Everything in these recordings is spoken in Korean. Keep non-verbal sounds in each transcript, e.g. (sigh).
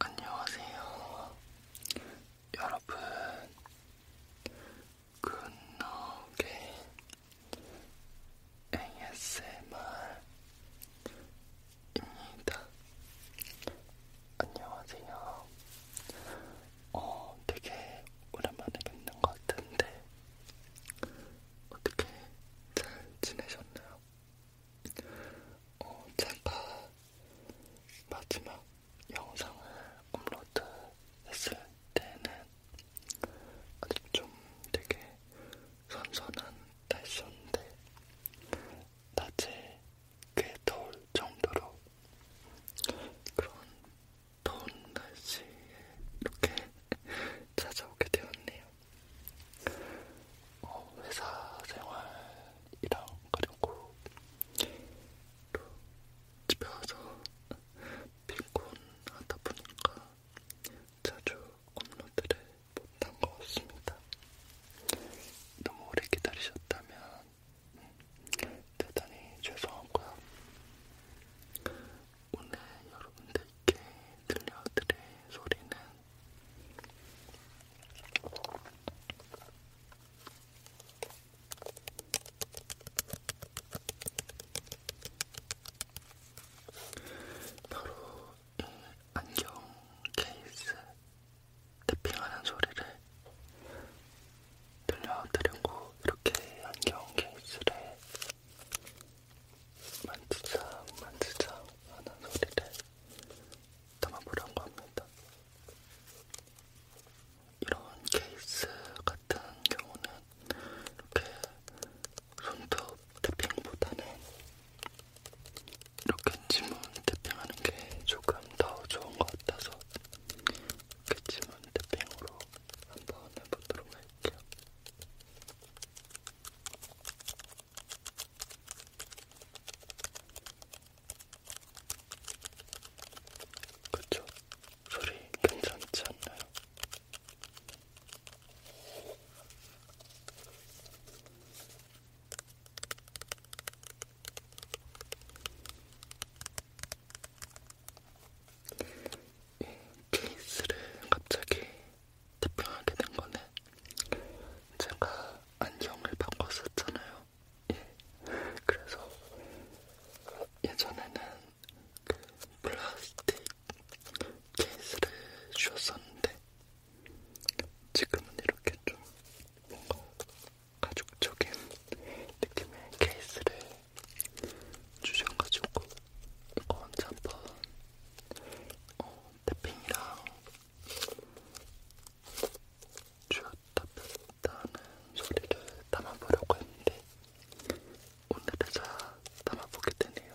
안녕하세요. 여러분, 굿노게 ASMR입니다. 안녕하세요. 어, 되게 오랜만에 뵙는 것 같은데, 어떻게 잘 지내셨나요? 어, 제가 마지막 영상을 업로드 했을 때는 아직 좀 되게 선선한 날씨였는데 낮에 꽤 더울 정도로 그런 더운 날씨에 이렇게 (laughs) 찾아오게 되었네요. 어, 회사 생활이랑 그리고 또 집에 와서 피곤하다 보니까 자주 업로드를 못한 것 같습니다. 너무 오래 기다리셨다면 음, 대단히 죄송하고요. 오늘 여러분들께 들려드릴 소리는 바로 이 안경 케이스 탭핑하는 소리를 들려드리고 이렇게 안경 케이스를 만지작 만지작 하는 소리를 담아보려고 합니다. 이런 케이스 같은 경우는 이렇게 손톱 태핑보다는 이렇게 지문 태핑하는 게 조금 더 좋은 것 같아서 이렇게 지문 태핑으로 한번 해보도록 할게요. 그쵸? 소리 괜찮지 않나요? 이 케이스를 갑자기 탑핑하게 된 거는 제가 안경을 바꿨었잖아요. 예. 그래서 예전에는 그 플라스틱 케이스를 주었었는데 지금은 이렇게 좀 뭔가 가죽적인 느낌의 케이스를 주셔가지고 이거 언제 한번 어, 태핑이랑 주었다 뺐다는 소리를 담아보려고 했는데 오늘에자 담아보게 되네요.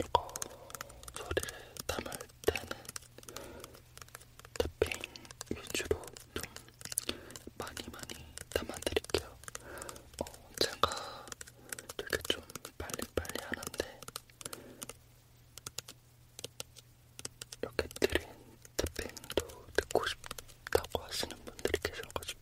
이거 어, 소리를 담을 때는 탭핑 위주로 좀 많이 많이 담아드릴게요. 어, 제가 되게 좀 빨리빨리 하는데 이렇게 드린 탭핑도 듣고 싶다고 하시는 분들이 계셔가지고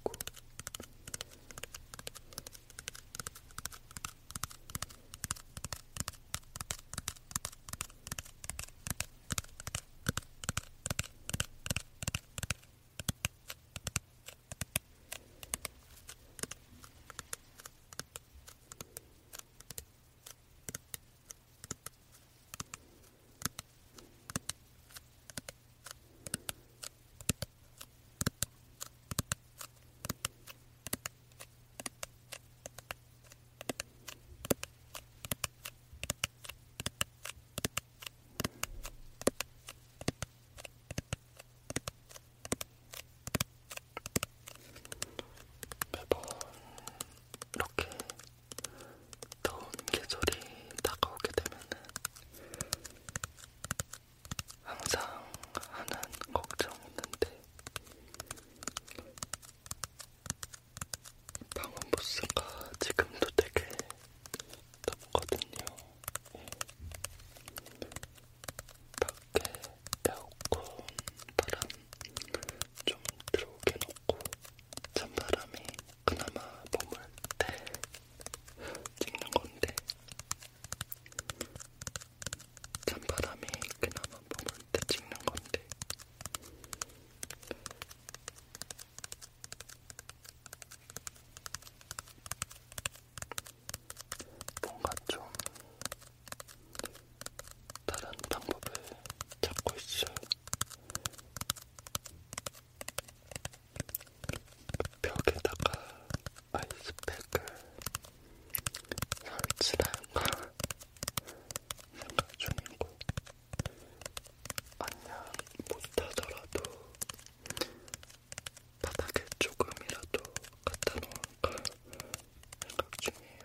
매번 이렇게 더운 계절이 다가오게 되면은 항상 하는 걱정이 있는데 방음부스가 지금도 되게 덥거든요. 예. 밖에 에어컨 바람 좀 들어오게 놓고 찬바람이 그나마 머물 때 찍는 건데 찬바람이 그나마 머물 때 찍는 건데 뭔가 좀 다른 방법을 찾고 있어요. 벽에다가 아이스팩을 설치할까 생각 중이고 안녕 못하더라도 바닥에 조금이라도 갖다 놓을까 생각 중이에요.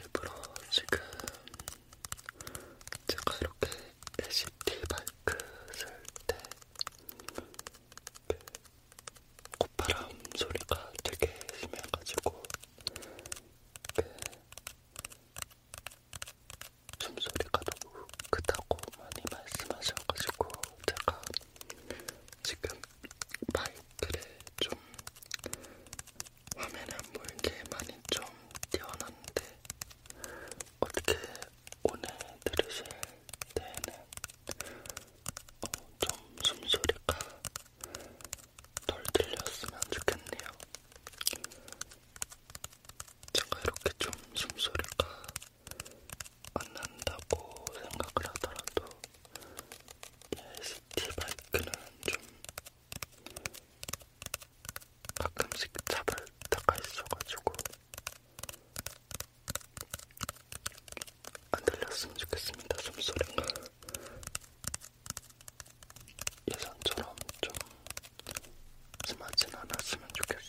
일부러 지금 제가 이렇게 LCD 마이크 쓸때 그 콧바람 소리가 되게 심해가지고 그 숨소리가 너무 크다고 많이 말씀하셔가지고 제가 지금 마이크를 좀 화면에 안 보이게 많이 좀 띄워놨는데 어떻게 오늘 들으실 때는 어, 좀 숨소리가 덜 들렸으면 좋겠네요. 제가 이렇게 좀 숨소리가 안 난다고 생각을 하더라도 LCT 예, 마이크는 좀 가끔씩 잡을 때가 있어가지고 안 들렸으면 좋겠습니다. 숨소리가 예전처럼 좀 심하진 않았으면 좋겠어요.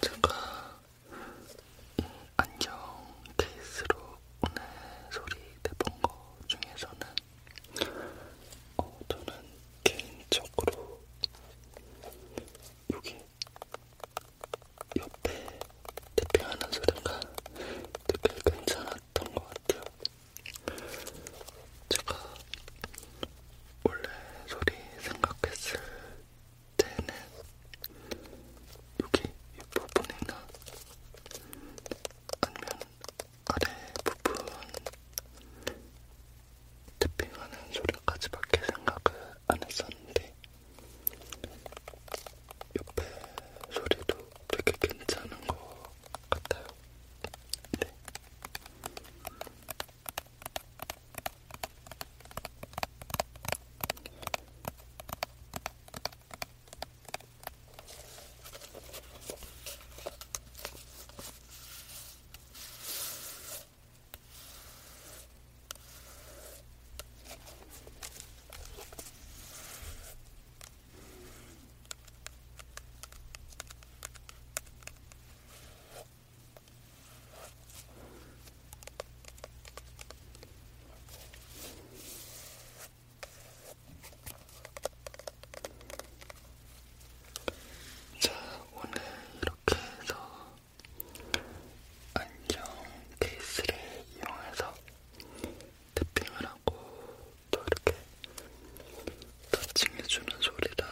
제가 이 음, 안경 케이스로 오늘 소리 내본 거 중에서는 어, 저는 개인적으로 여기 옆에 대핑하는 소리가 되게 괜찮았던 좋았던 것 같아요. 제가 원래 소리 생각했을 때는 여기 윗부분이나 아니면 아래부분 탭핑하는 소리까지밖에 생각을 안 했었는데 옆에 소리도 되게 괜찮은 것 같아요. 네. 자, 오늘 이렇게 해서 안경 케이스를 이용해서 탭핑을 하고 또 이렇게 터칭해주는 소리랑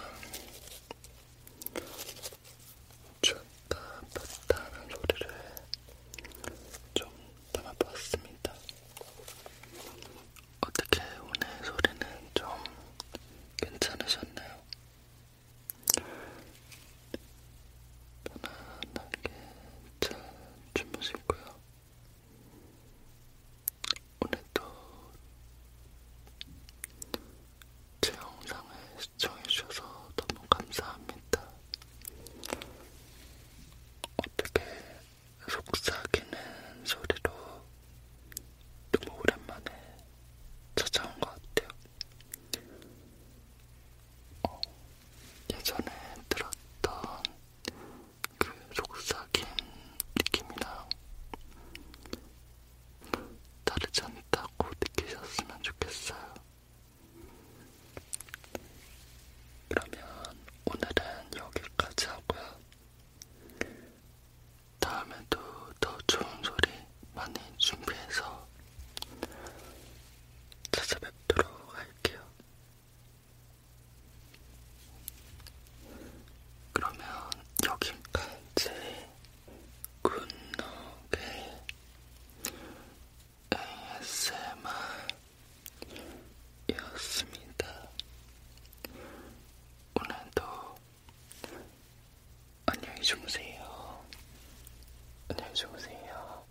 쳤다 폈다 하는 소리를 좀 담아봤습니다. 어떻게 오늘 소리는 좀 괜찮으셨나요? 편안하게 잘 주무시고요. 오늘도 제 영상을 시청해주셔서 너무 감사합니다. 어떻게 속삭이는 소리로 너무 오랜만에 찾아온 것 같아요. 어, 예전에 들었던 그 속삭임 느낌이랑 다르지 않다고 느끼셨으면 좋겠어요. 그러면 오늘은 여기까지 하고요. 다음에도 더 좋은 소리 많이 준비해서 찾아뵙도록 할게요. 그러면 여기까지 굿노게 ASMR이었습니다. 오늘도 안녕히 주무세요. 안녕히 주무세요.